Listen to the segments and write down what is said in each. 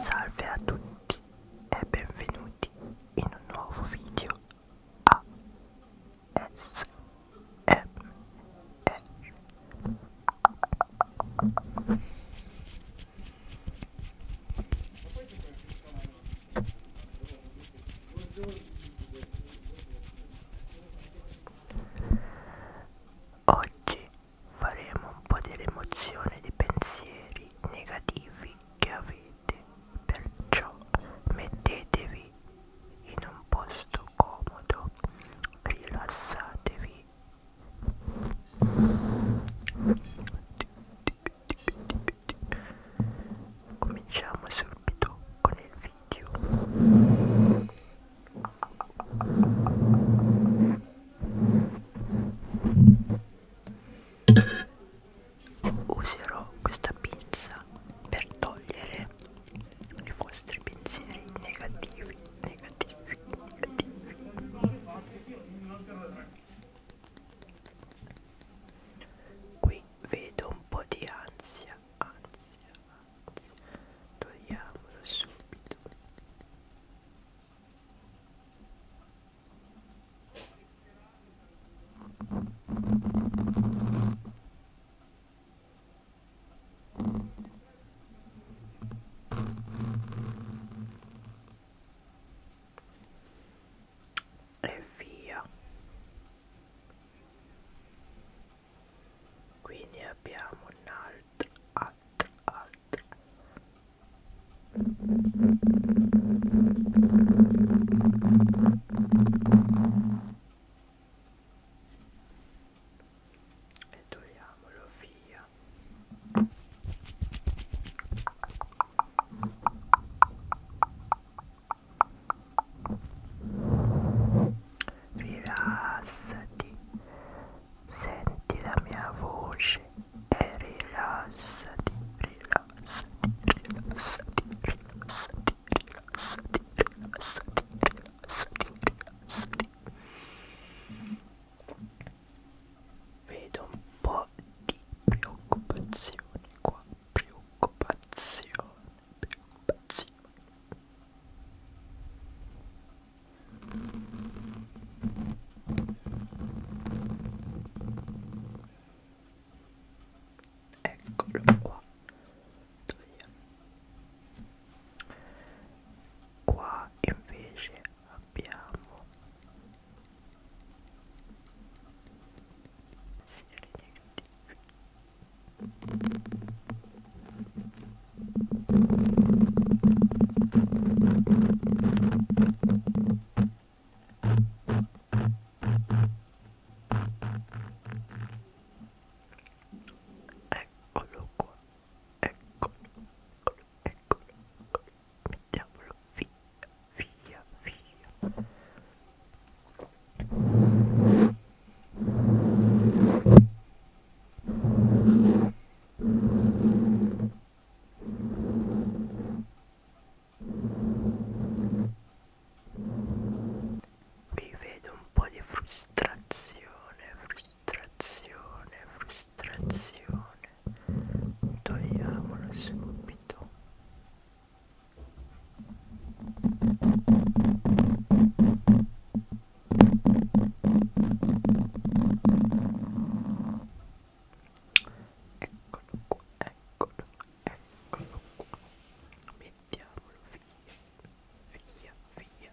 Salve a tutti e benvenuti in un nuovo video a S -M -R. Oggi faremo un po' di rimozione di pensieri negativi che avete, perciò mettetevi in un posto comodo, rilassatevi. Cominciamo subito con il video. Userò questa pinza per togliere i vostri pensieri negativi, negativi, negativi. Qui vedo un po' di ansia, ansia, ansia. Togliamolo subito e via quindi abbiamo un altro altro altro e togliamolo via rilassati senti la mia voce e rilassati rilassati rilassati rilassati rilassati rilassati rilassati rilassati vedo un po' di preoccupazione qua preoccupazione preoccupazione eccolo qua qua invece abbiamo sfere negative Eccolo qua, eccolo, eccolo, eccolo. Mi diavolo, via, via, via. Vi vedo un po' di frustrazione, frustrazione frustrazione, frustrazione, togliamola subito. Eccolo qua, eccolo, eccolo qua. Mettiamolo via, via, via.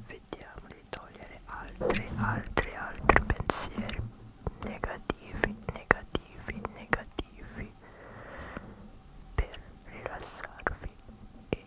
Vediamo di togliere altri, altri, altri pensieri negativi, negativi, negativi per rilassarvi e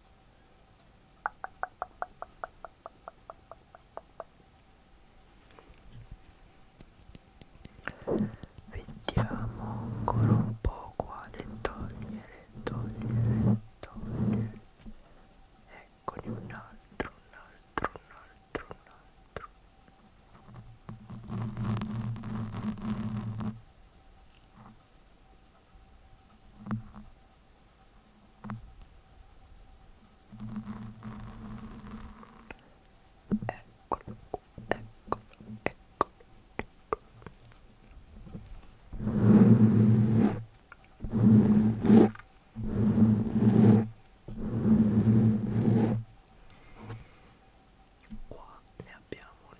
Vediamo ancora un po' quale togliere, togliere, togliere. Eccoli un altro, un altro, un altro, un altro. Eccolo, eccolo, eccolo, eccolo. Qua ne abbiamo un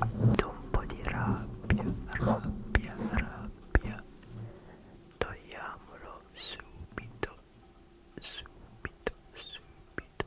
un po' di rabbia, rabbia, rabbia. Togliamolo subito, subito, subito. Ecco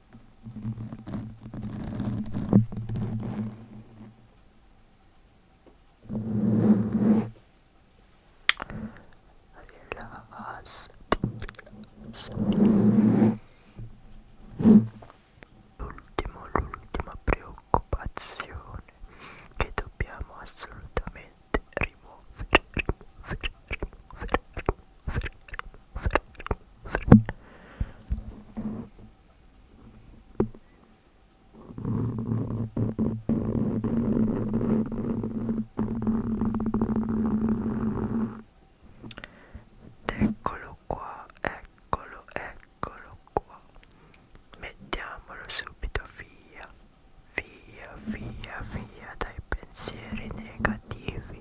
Relax. L'ultimo, l'ultima preoccupazione che dobbiamo assolutamente rimuovere, rimuovere, rimuovere, rimuovere, rimuovere, fermo, fermo. Eccolo qua, eccolo, eccolo qua. Mettiamolo subito via, via, via, via dai pensieri negativi.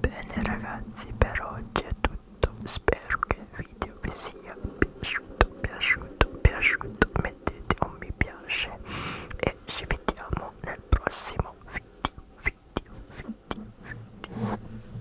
Bene ragazzi per oggi è tutto, spero che il video vi sia piaciuto, piaciuto, piaciuto, mettete un mi piace e ci vediamo nel prossimo video, video, video, video.